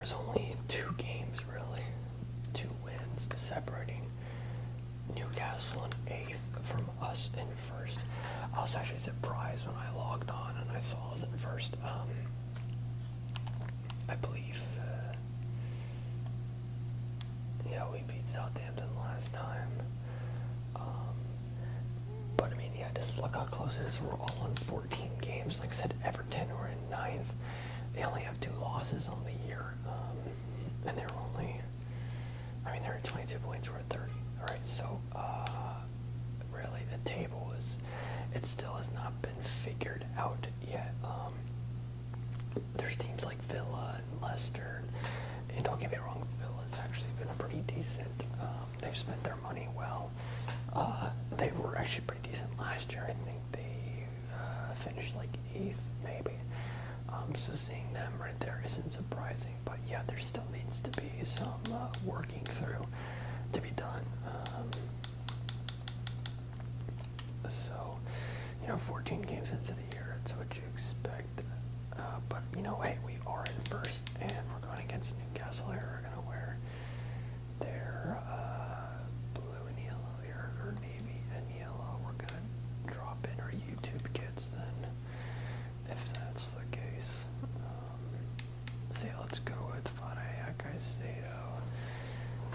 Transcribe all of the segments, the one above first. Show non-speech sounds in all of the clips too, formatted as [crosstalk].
There's only two games really, two wins separating Newcastle in eighth from us in first. I was actually surprised when I logged on and I saw us in first. Um, I believe, uh, yeah, we beat Southampton last time. Um, but I mean, yeah, this look how close it is. We're all on 14 games. Like I said, five or ten or in ninth. They only have two losses on the year, um, and they're only. I mean, they're at 22 points. We're at 30. All right, so uh, really, the table is. It still has not been figured out yet. Um, there's teams like Villa and Leicester, and don't get me wrong, Villa's actually been pretty decent. Um, they've spent their money well. Uh, they were actually pretty decent last year. I think they uh, finished like eighth, maybe. Um, so seeing them right there isn't surprising, but yeah, there still needs to be some uh, working through to be done. Um, so, you know, 14 games into the year, that's what you expect. Uh, but you know, hey, we are in first, and we're going against Newcastle here. We're gonna wear they're uh, blue and yellow here, or navy and yellow. We're gonna drop in our YouTube kits then, if that's the case. Um, see, let's go with Fanayak Icedo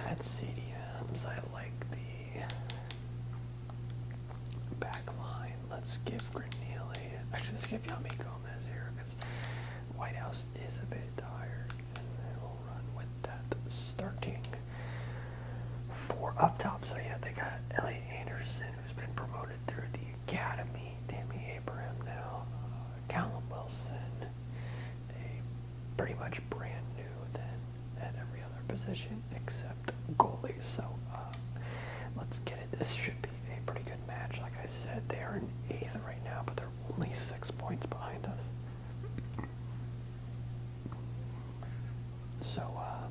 at CDMs. I like the back line. Let's give Granili. Actually, let's give Yami Gomez here because White House is a bit tired. And then we'll run with that starting four up top. So yeah, they got Elliot Anderson, who's been promoted through the academy. Tammy Abraham now. Uh, Callum Wilson, a pretty much brand new than at every other position except goalie. So uh, let's get it. This should be a pretty good match. Like I said, they are in eighth right now, but they're only six points behind us. So, uh,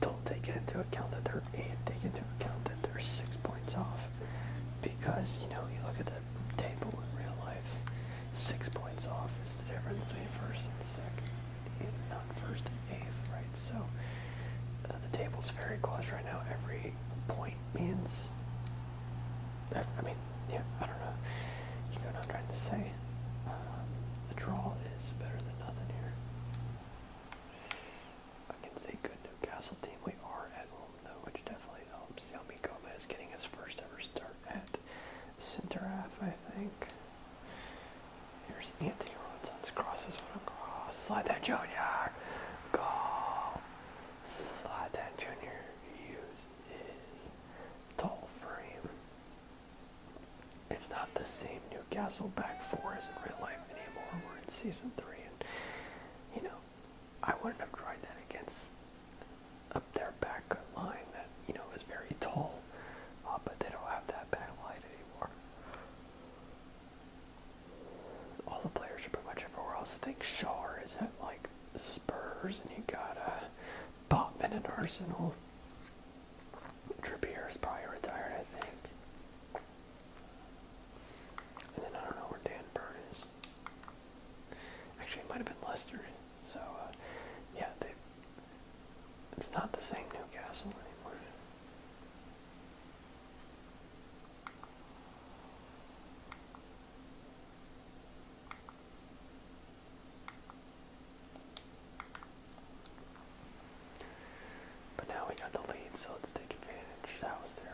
don't take into account that they're eighth, take into account that they're six points off. Because, you know, you look at the table in real life, six points off is the difference between first and second, and not first and eighth, right? So, uh, the table is very close right now. Every point means. I, I mean, yeah, I don't know. You know what I'm trying to say? Um, the draw is better than nothing here. I can say good Newcastle team. We are at home though, which definitely helps. Yami Gomez getting his first ever start at center half, I think. Here's Anthony Robinson's crosses. What a cross! Slide that junior goal. Zlatan Jr. used his tall frame. It's not the same Newcastle back four as in real life anymore. We're in season three, and you know, I wouldn't have tried that against up their back line that you know is very tall, uh, but they don't have that back line anymore all the players are pretty much everywhere else. I think Shaw is at like Spurs, and you got a uh, Botman and Arsenal. Trippier is probably retired, I think. And then I don't know where Dan Burn is. Actually, it might have been Leicester. So, uh, yeah, they, it's not the same Newcastle anymore. But now we got the lead, so let's take advantage. That was their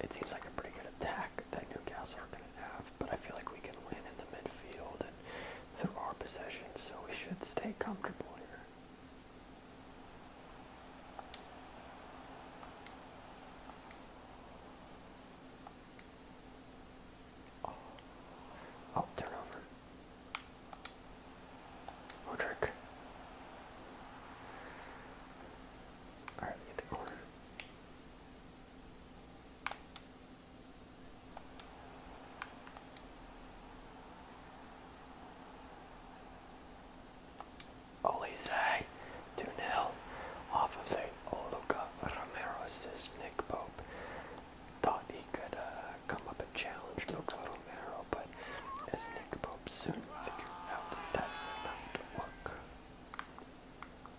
It seems like a pretty good attack that Newcastle are going and a half, but I feel like we can win in the midfield and through our possessions, so we should stay comfortable here. oh, oh turnover. Modric. Alright, get the corner. Olise 2 0 off of the Oluca Romero assist. Nick Pope thought he could uh, come up and challenge Luca Romero, but as Nick Pope soon figured out that would not work.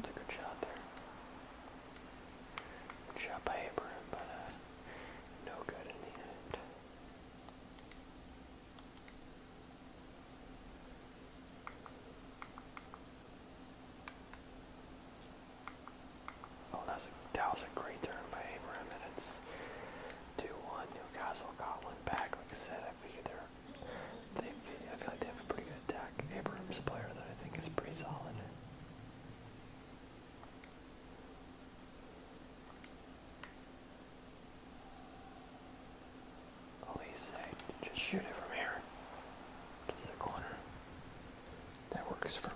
That's a good shot there. shot by Abraham, but uh, no good in the end. Oh, that was a, that was a great turn by Abraham, and it's 2-1. Newcastle got one back. Like I said, I feel like they have a pretty good attack. Abrams player that I think is pretty solid. Oh, he's just shoot it from here. It's the corner. That works for me.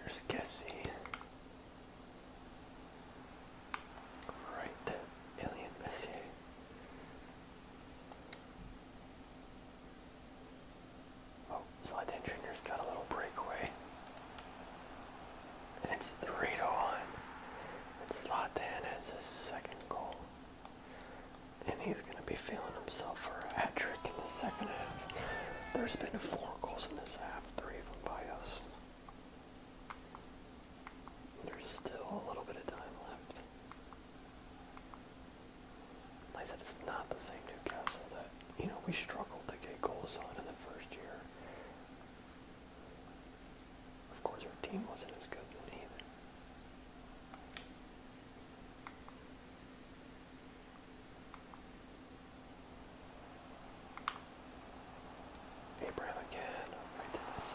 Here's Cassie. Right, Alien Messier. Oh, Slide Engineer's got a little breakaway. And it's three to one. And Zlatan has his second goal. And he's going to be feeling himself for a hat trick in the second half. There's been four goals in this half, three of them by us. There's still a little bit of time left. I said, it's not the same Newcastle that, you know, we struggled to get goals on in the first year. Of course, our team wasn't as good either. Abraham again, right to this.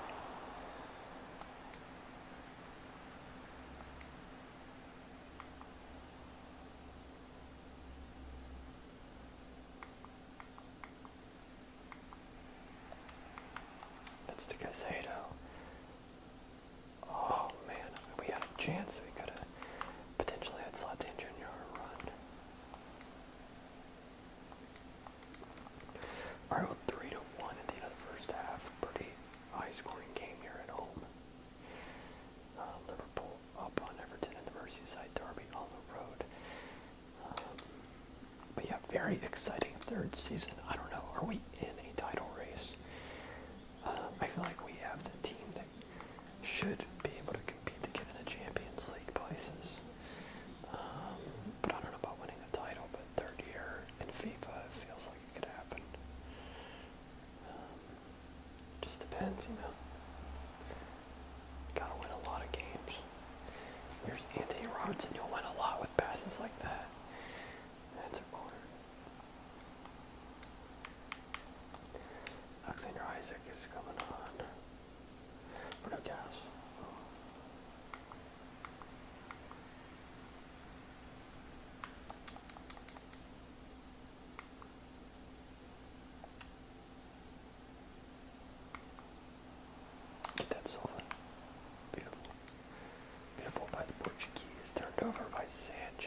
That's the Casado. Oh man, we had a chance. We could have potentially had Zlatan Jr. run. Alright, well, 3 to 1 at the end of the first half. Pretty high-scoring game here at home. Um, Liverpool up on Everton in the Merseyside derby on the road. Um, but yeah, very exciting third season. I don't know. Are we in a title race? Um, I feel like we have the team that should be able to compete to get in the Champions League places. but I don't know about winning the title. But third year in FIFA, it feels like could happen. Um, just depends, you know. Gotta win a lot of games. Here's Anthony Robinson. You'll win a lot with passes like that. That's a corner. Alexander Isaac is coming on. Bruno Gas. Get that Silva. Beautiful. Beautiful by the Portuguese. Turned over by Sanchez.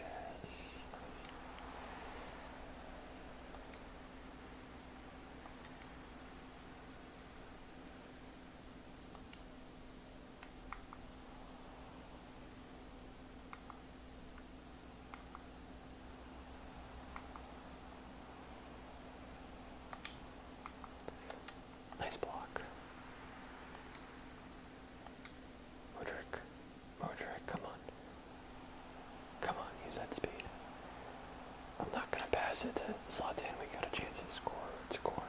Nice block. Modric, Modric, come on. Come on, use that speed. I'm not gonna pass it to Zlatan. We got a chance to score. It's a corner.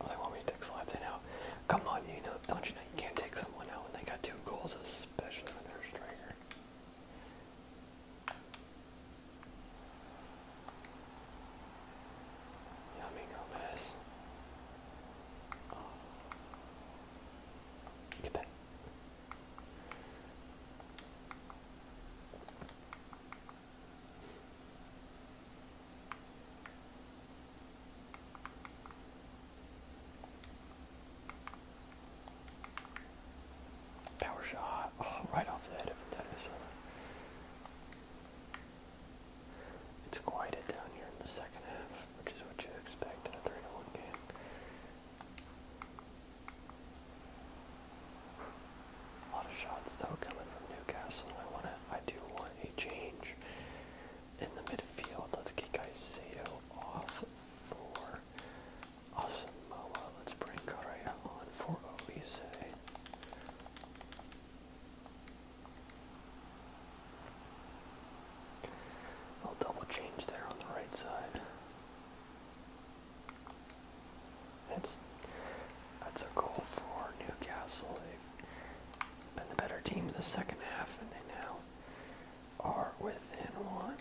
Oh, they want me to take Zlatan out. Come on, you know, don't you know you can't take someone out when they got two goals, especially when they're a striker. Yummy Gomez. Oh. Get that. Power shot. Oh, right off the head of a tennis It's quieted down here in the second half, which is what you expect in a 3 to 1 game. A lot of shots though coming from Newcastle. I want to, I do want a change in the midfield. Let's get Caicedo off for Asamoah. Let's bring Correa on for Olise. I'll double change there on the right side. It's that's a goal for Newcastle. They've been the better team in the second half, and they now are within one.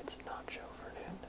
It's Nacho Fernandez.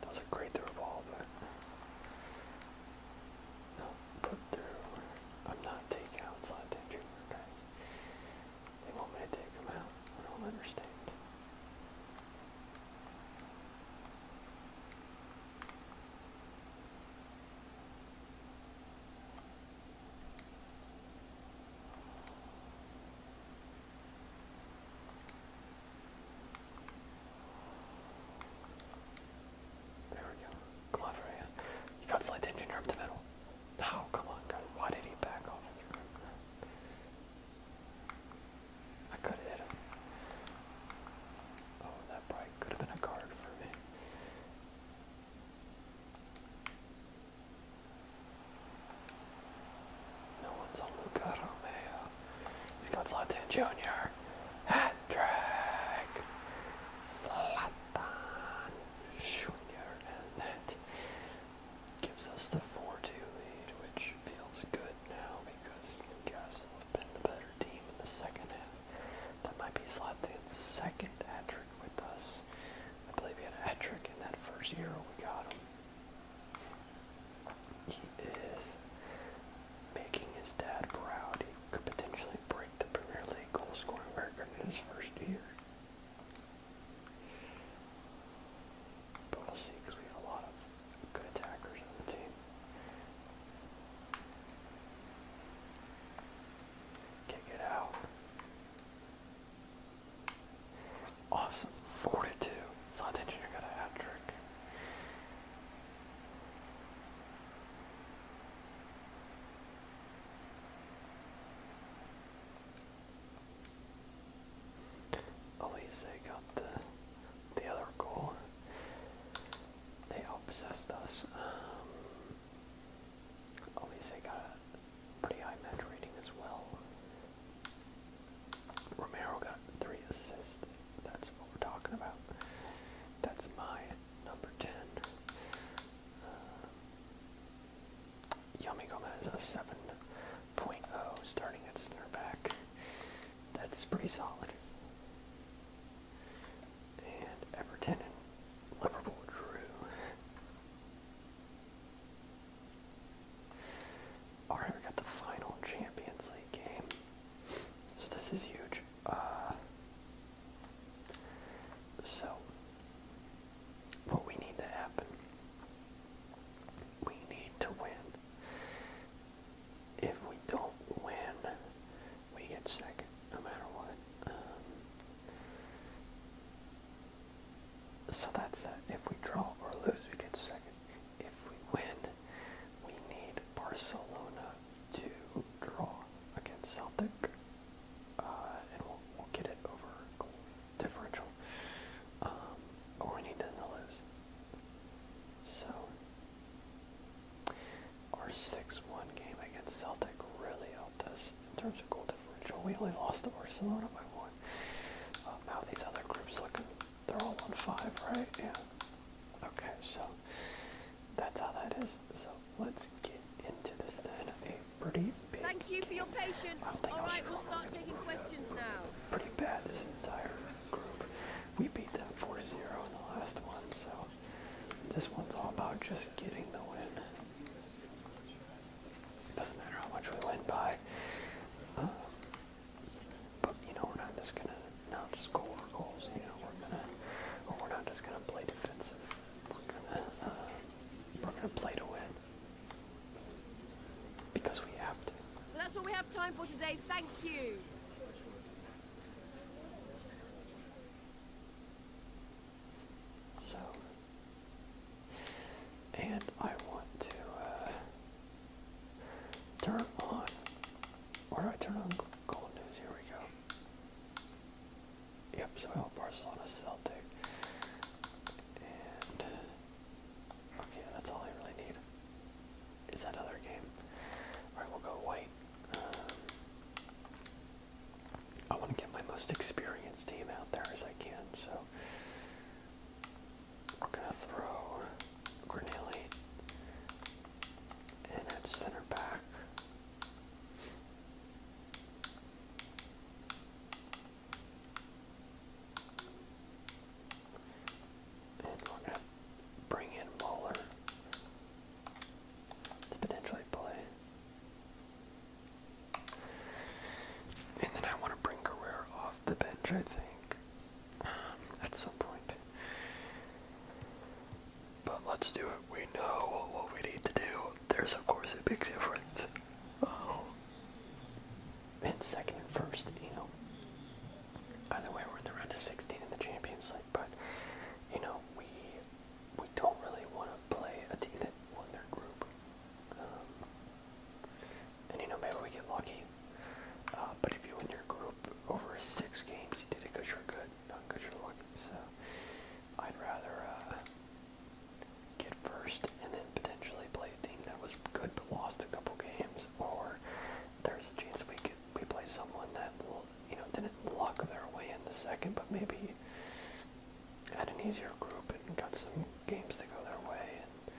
That was a great through ball, but no put through. I'm not taking outside that guys. They want me to take them out. I don't understand. There we go. Come on, Freya. You got slight tension your to the middle. No, come on, Why did he back off? I could hit him. Oh, that probably could have been a card for me. No one's on Luca He's got Zlatan Jr. Hat trick. Zlatan Jr. And that gives us the 4-2 lead, which feels good now because Newcastle have been the better team in the second half. That might be Zlatan's second hat trick trick with us. I believe he had a hat trick in that first year we got him. He is making his dad proud. He could potentially break the Premier League goal scoring record in his first year. But we'll see because we have a lot of good attackers on the team. Kick it out. Awesome. 42. So I think you hat trick. Elise got the the other goal. They outpossessed us. Um, Elise got pretty high rating as well. Romero got three assists. That's what we're talking about. That's my number 10. Uh, Yami Gomez, a 7.0 starting at center back. That's pretty solid. And Everton Liverpool drew. All right, we got the final Champions League game. So this is huge. Uh, so what we need to happen, we need to win. If we don't win, we get second, no matter what. Um, so that's that. If we draw or lose, we get second. If we win, we need Barcelona to draw against Celtic, uh, and we'll, get it over differential. Um, or we need them to lose. So our six-one game against Celtic really helped us in terms of goal differential. We only lost to Barcelona by one. Um, how these other groups looking? They're all on five, right? Yeah. Okay, so that's how that is. So let's get into this then. A pretty big. Thank you for your patience. All right, we'll start taking questions now. Pretty bad this entire group. We beat them 4-0 in the last one, so this one's all about just getting the win. It doesn't matter how much we win by. Um, but you know, we're not just gonna not score goals. You know, we're gonna, we're not just gonna play defensive. We're gonna, uh, we're gonna play to win because we have to. Well, that's all we have time for today. Thank you. So and I want to uh, turn on. Where do I turn on Gold news? Here we go. Yep, so I El Barcelona Celtic. And okay, that's all I really need. Is that other game? Alright, we'll go white. Um, I want to get my most experienced team out there as I can, so we're gonna throw Granelli and at center back. And we're gonna bring in Waller to potentially play. And then I want to bring Guerrero off the bench, I think, um, at some point. But let's do it. We know what we need to do. There's, of course, a big difference. Oh. And second and first, you know. Either way, we're in the round of 16 in the Champions League, but, you know, we we don't really want to play a team that won their group. Um, and you know, maybe we get lucky. Uh, but if you win your group over six games, you did it because you're good, not because you're lucky. So I'd rather uh, get first and then potentially play a team that was good but lost a couple games, or there's a chance we could, we play someone that will, you know, didn't luck their way in the second, but maybe had an easier group and got some games to go their way. And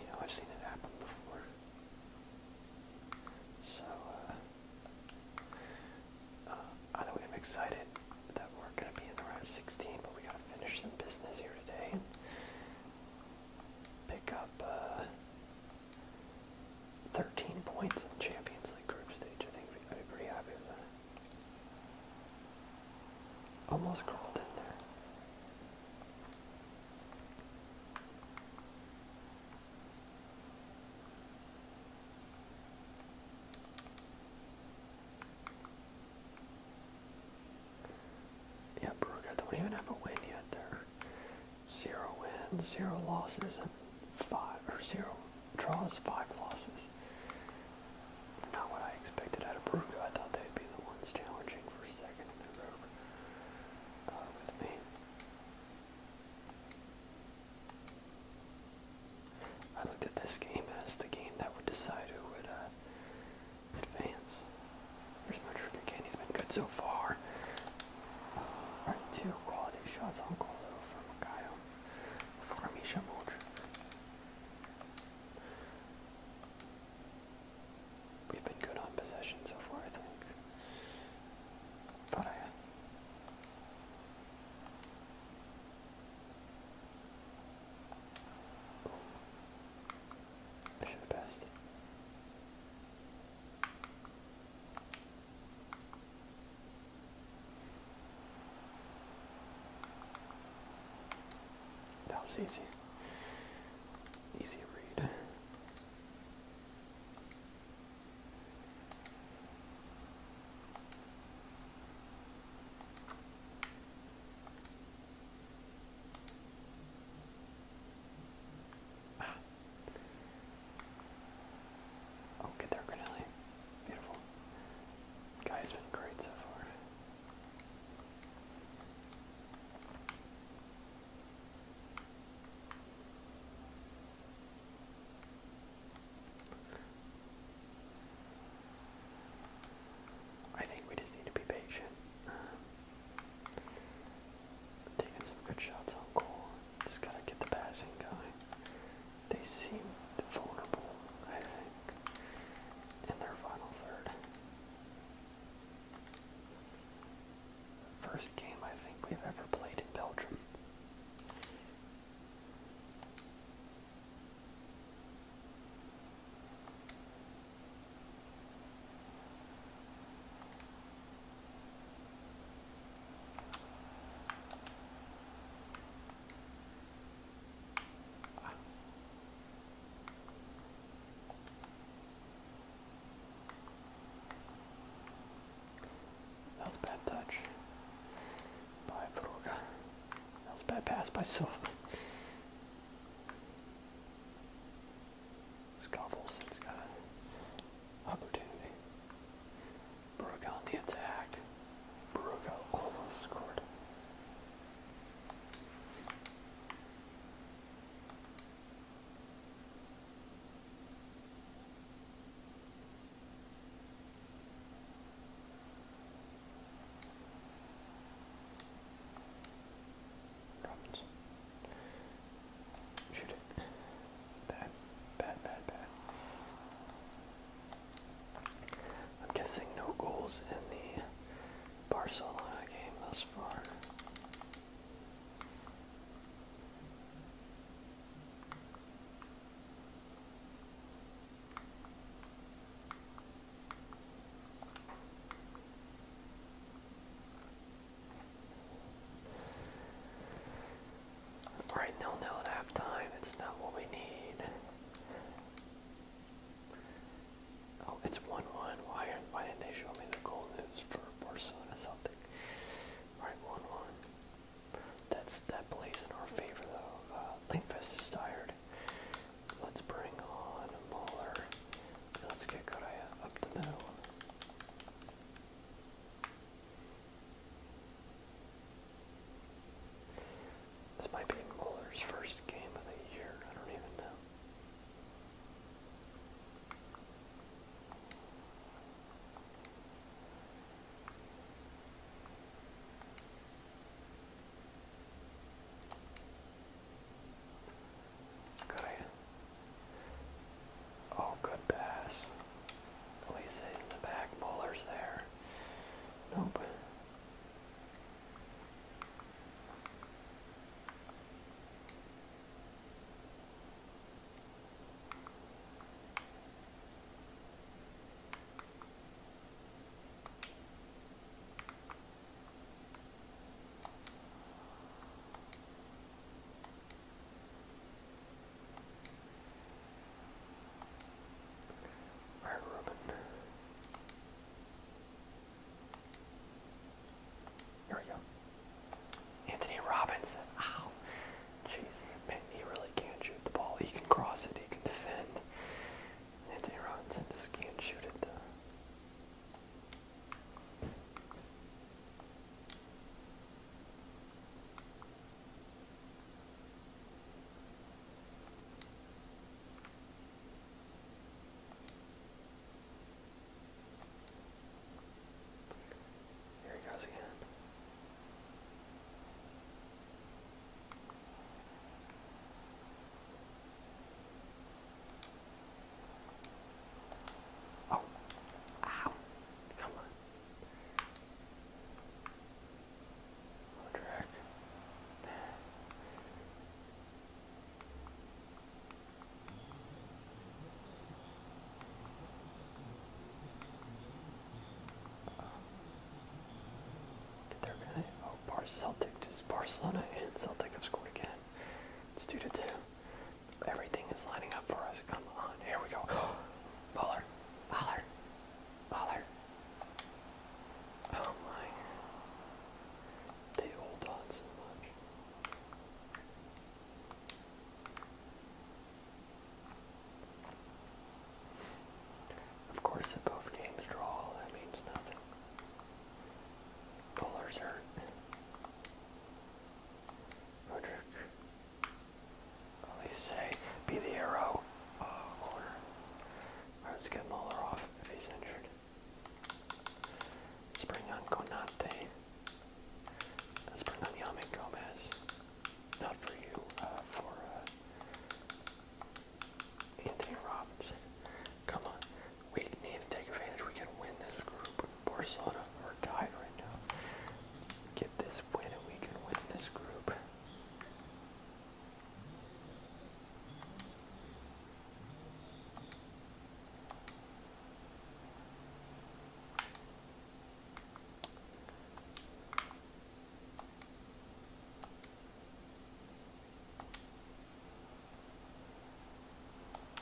you know, I've seen it happen before. So uh, uh, either way, I'm excited that we're gonna be in the round 16, but we gotta finish some business here today and pick up. Uh, 13 points in Champions League group stage. I think I'd be pretty happy with that. Almost crawled in there. Yeah, Brugge, don't even have a win yet. There, zero wins, zero losses, and five or zero draws, five losses not what I expected out of Peruka. I thought they'd be the ones challenging for second uh, with me. I looked at this game as the game that would decide who would uh, advance. Here's my trick again. He's been good so far. Alright, uh, two quality shots on goal though from Makayo. We've been good on possession so far, I think. But I. should have passed that was easy. Easy read. Oh, there, Granelli. Beautiful. Guy's been great so far. I think we just need to be patient. Um, taking some good shots on goal. Just gotta get the passing going they seemed vulnerable, I think, in their final third. First game I think we've ever played in Belgium. That was a bad touch by Vroga. That was a bad pass by Silva. Scoffles, it opportunity. Brooke on the attack. Brooke almost scored. Robinson. Bad, bad, bad, bad. I'm guessing no goals in the Barcelona game thus far. Alright, nil nil at halftime. It's not what we need. Oh, it's 1-1. Why, didn't they show me the goal news for Barcelona something? Alright, 1-1. That's That plays in our favor, though. Uh, Linkfest is tired. Let's bring on Muller. Let's get Correa up the middle. This might be Muller's first game of the year. I don't even know. Korea. Oh, good pass. At least in the back. Muller's there. Nope. Anthony Robinson. Ow. Jeez, man, he really can't shoot the ball. He can cross it, he can defend. Anthony Robinson just can't shoot it, here he goes again. Oh, ow, come on. Track. Did there really? Oh, Bar Celtic. Just Barcelona and Celtic have scored again. It's two to two. Everything is lining up for us. Come on. Here we go. Baller. Baller. Baller. Oh my. They hold on so much. Of course, if both games draw, that means nothing. Bowlers hurt. Roderick at say, be the arrow uh, let's get Muller off if he's injured. Let's bring on Konate. Let's bring on Yami Gomez. Not for you, uh, for uh, Anthony Robinson. Come on. We need to take advantage. We can win this group. Barcelona are tied right now. Get this win and we can win this group.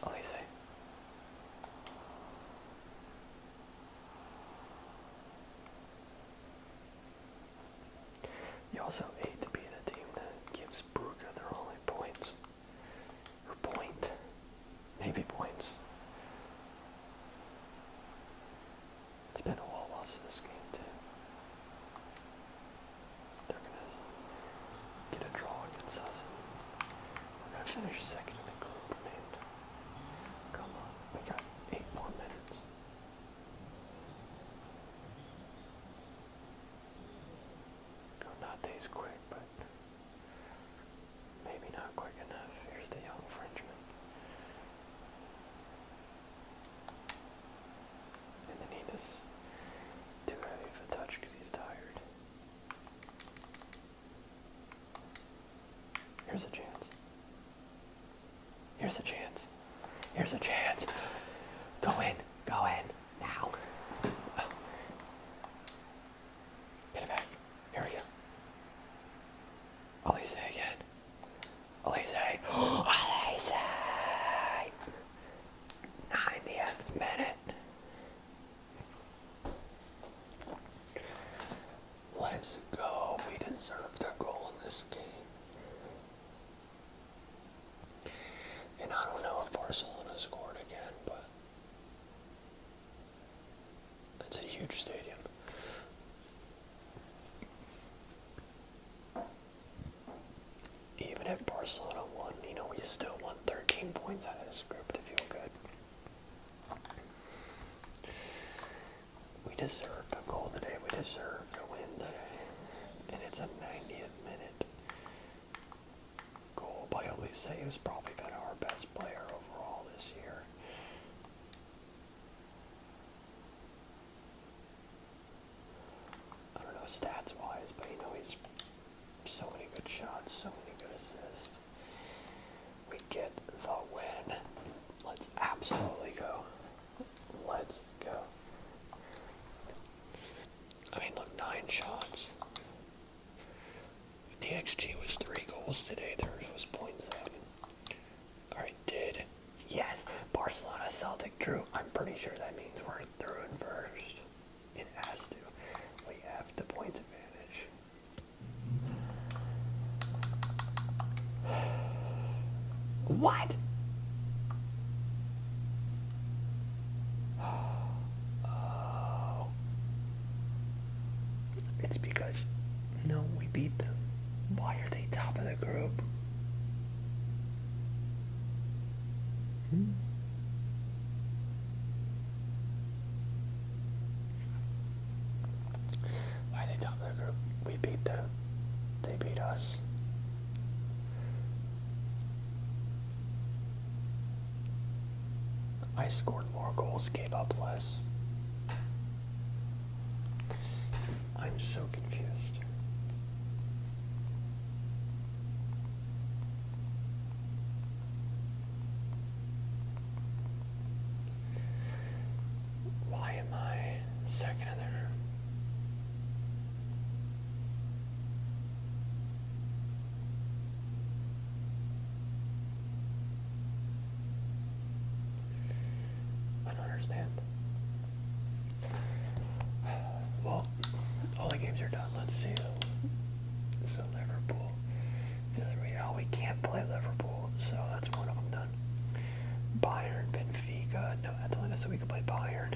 Elise. You also hate to be the team that gives Bruca their only points. Or point. Maybe points. It's been a while loss this game too. They're gonna get a draw against us and we're gonna second in the group remained. Come on, we got eight more minutes. not these quick, but maybe not quick enough. Here's the young Frenchman. And then he too heavy of a touch because he's tired. Here's a chance. Here's a chance. Here's a chance. Go in. Go in. Now. Get it back. Here we go. Elise again. Elise. Elise! 90th minute. Let's go. We deserve the goal in this game. And I don't know if Barcelona scored again, but it's a huge stadium. Even if Barcelona won, you know, we still want 13 points out of this group to feel good. We deserve a goal today. We deserve to win today. And it's a 90 minute goal by Elise. He probably been our best player overall this year. I don't know stats wise, but you know he's so many good shots, so many good assists. We get the win. Let's absolutely go. Let's go. I mean, look, nine shots. The XG was three goals today. There was .7. All right, did yes. Barcelona Celtic drew. I'm pretty sure that means we're through and first. It has to. We have the points advantage. What? [sighs] It's because, no, we beat them. Why are they top of the group? Hmm? Why they top of group? We beat them. They beat us. I scored more goals, gave up less. I'm so confused. Why am I second in there? I don't understand. Well, all the games are done. Let's see so Liverpool. The oh, we can't play Liverpool, so that's one of them done. Bayern, Benfica. No, that's only so we could play Bayern.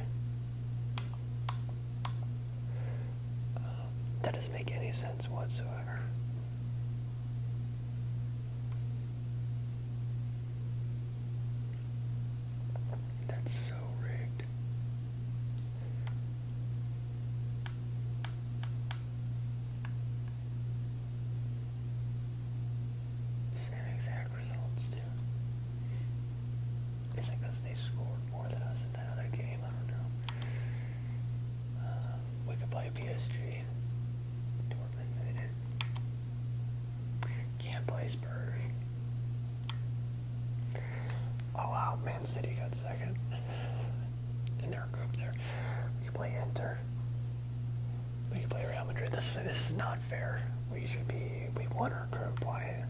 Um, that doesn't make any sense whatsoever. That's so rigged. Same exact results, too. Is it because they scored more than us in that other game? I don't know. Um, we could play PSG. Dortmund eh, eh. Can't play Spurs. Oh wow, Man City got second in their group there. We play Inter. We play Real Madrid. This this is not fair. We should be we won our group. Why?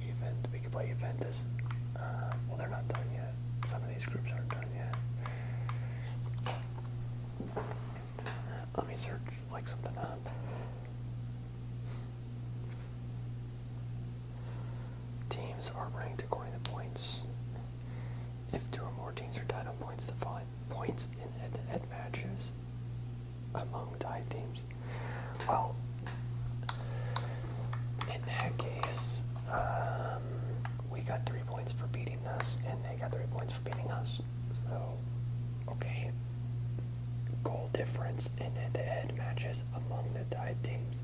Event we could play Juventus. Uh, well, they're not done yet. Some of these groups aren't done yet. Let me search like something up. Teams are ranked according to points. If two or more teams are tied on points, the following points in head matches among tied teams. Well, in that case, um, we got three points for beating us, and they got three points for beating us. So, okay, goal difference in head-to-head matches among the tied teams.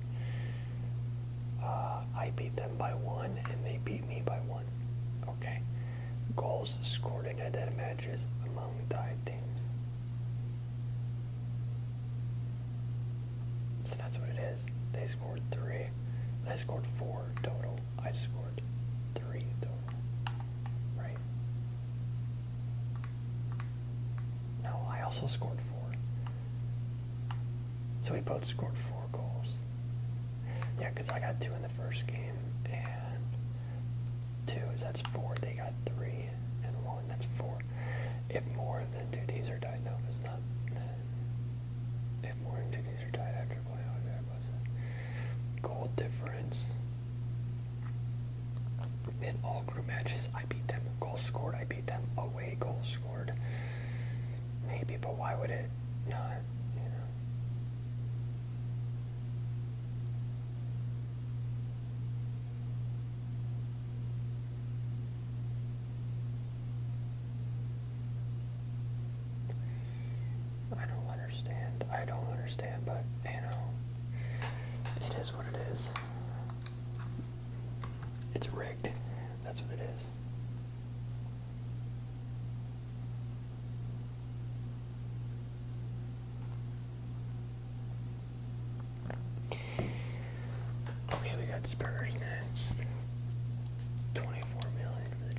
Uh, I beat them by one, and they beat me by one. Okay, goals scored in head-to-head matches among the tied teams. So that's what it is. They scored three. I scored four total. I scored three total. Right? No, I also scored four. So we both scored four goals. Yeah, because I got two in the first game, and two is that's four. They got three, and one that's four. If more than two T's are died, no, it's not. If more than two T's are died after Goal difference. In all group matches, I beat them. Goal scored, I beat them. Away goal scored. Maybe, but why would it not? I don't understand. I don't understand, but you know, it is what it is. It's rigged. That's what it is. Okay, we got Spurs next. 24 million